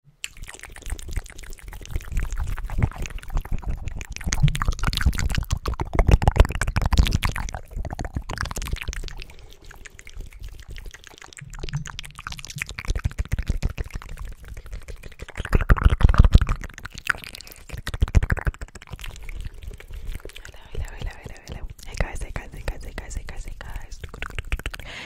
Hello, hello, hello, hello, hello. Hey guys, hey guys, hey guys, hey guys, hey guys, hey guys.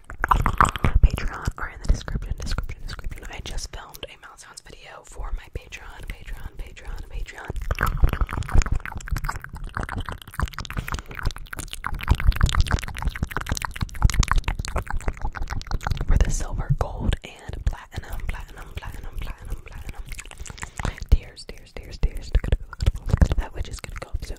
Patreon are in the description, description, description. I just filmed a mouth sounds video for my Patreon, Patreon, Patreon, Patreon. For the silver, gold, and platinum, platinum, platinum, platinum, platinum. Tears, tears, tears, tears. That which is gonna go up soon.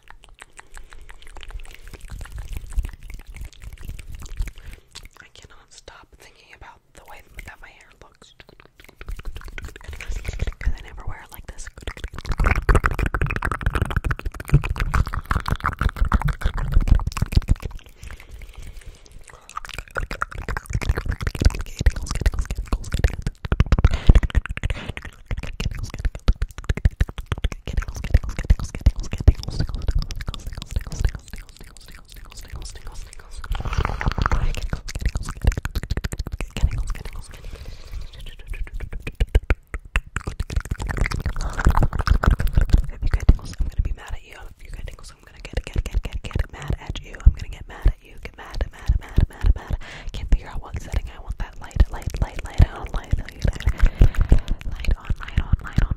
I cannot stop thinking about the way that my hair looks. Because I never wear like this. I'm gonna be mad at you. If you get tingles, I'm gonna get get get get get mad at you. I'm gonna get mad at you. Get mad, mad, mad, mad, mad. Can't figure out what setting like I want that light, light, light, light on, light, light, light on, light on, light on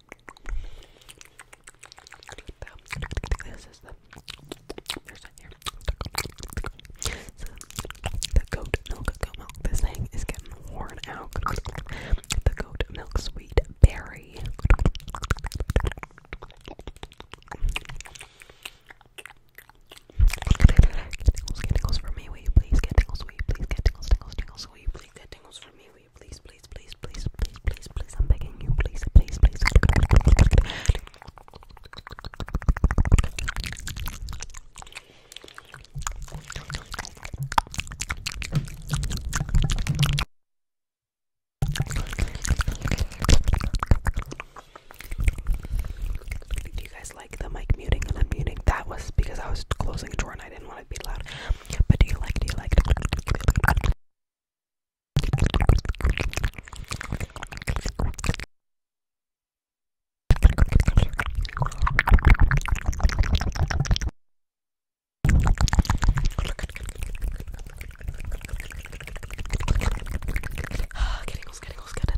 This the goat milk goat milk. This thing is getting worn out. The goat milk sweet berry. get tingles for me, will you please? Get tingles, will please? Get tingles, tingles, tingles, will please? Get tingles for me, will you please, please, please, please, please, please, please, I'm begging you, please, please, please. Did you guys like the mic muting and unmuting? That was because I was closing a drawer and I didn't want it to be loud. But do you like, do you like? Getting ah, us, getting us, getting us.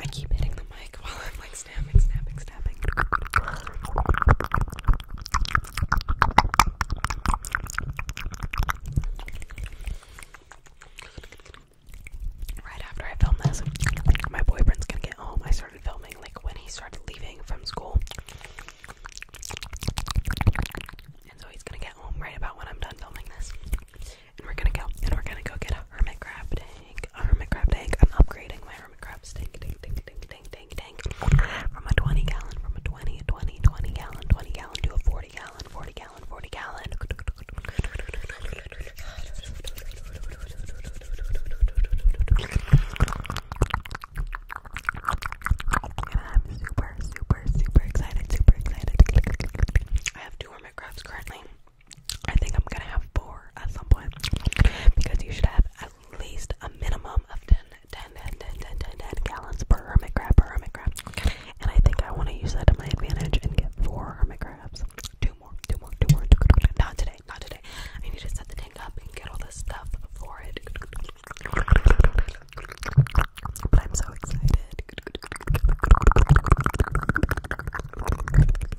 I keep hitting the mic while I'm like snapping, snapping, snapping. Right after I film this, my boyfriend's gonna get home. I started filming like when he started leaving from school. And so he's gonna get home right about when I'm done filming this. And we're gonna go and we're gonna go get a hermit crab tank, a crab tank. I'm upgrading my hermit crab tank, tank, tank, tank, tank, tank, tank. From a 20 gallon, from a 20, 20, 20 gallon, 20 gallon to a 40 gallon, 40 gallon, 40 gallon. I'm super, super, super excited, super excited. I have two hermit crabs currently. I think I'm gonna have four at some point because you should have at least a minimum of ten, ten, ten, ten, ten, ten 10, 10, 10, 10, 10, gallons per hermit crab per hermit And I think I want to use that to my advantage and get four hermit crabs. Two more, two more, two more. Not today, not today. I need to set the tank up and get all this stuff for it. But I'm so excited.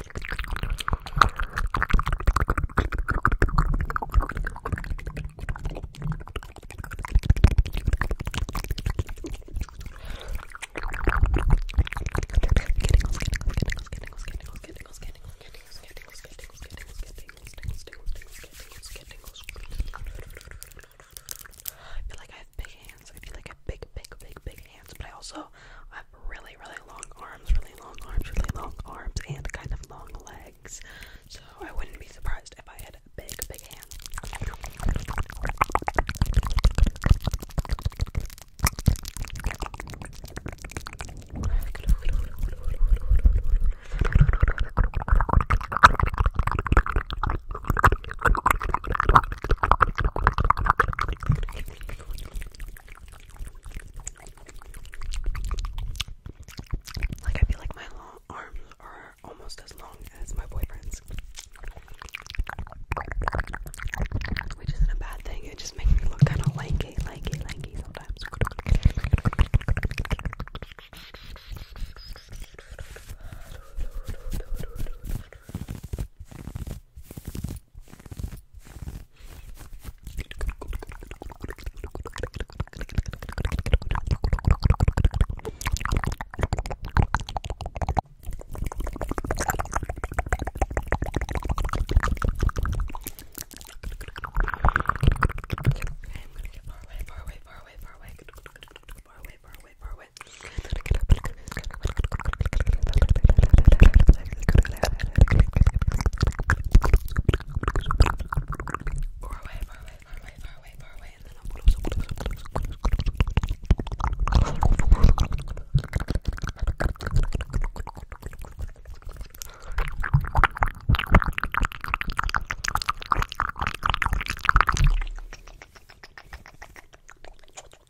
I feel like I have big hands. I feel like I have big, big, big, big but I also have really, really long arms, really long arms, really long arms, and kind of long legs. So I wouldn't be surprised if I had big, big hands. Like I feel like my long arms are almost as long as my boyfriend's. Which isn't a bad thing, it just makes me look kinda lanky, lanky, lanky sometimes. Okay, I'm gonna get far away, far away, far away, far away, far away, far away, far away, wait for it. Far away, far away, far away, far away, far away, and then I'm close, close, close, close, close. Guys,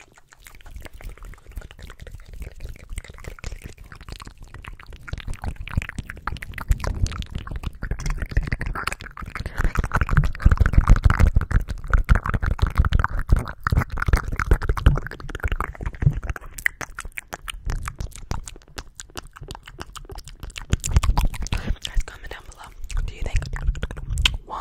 comment down below. Do you think one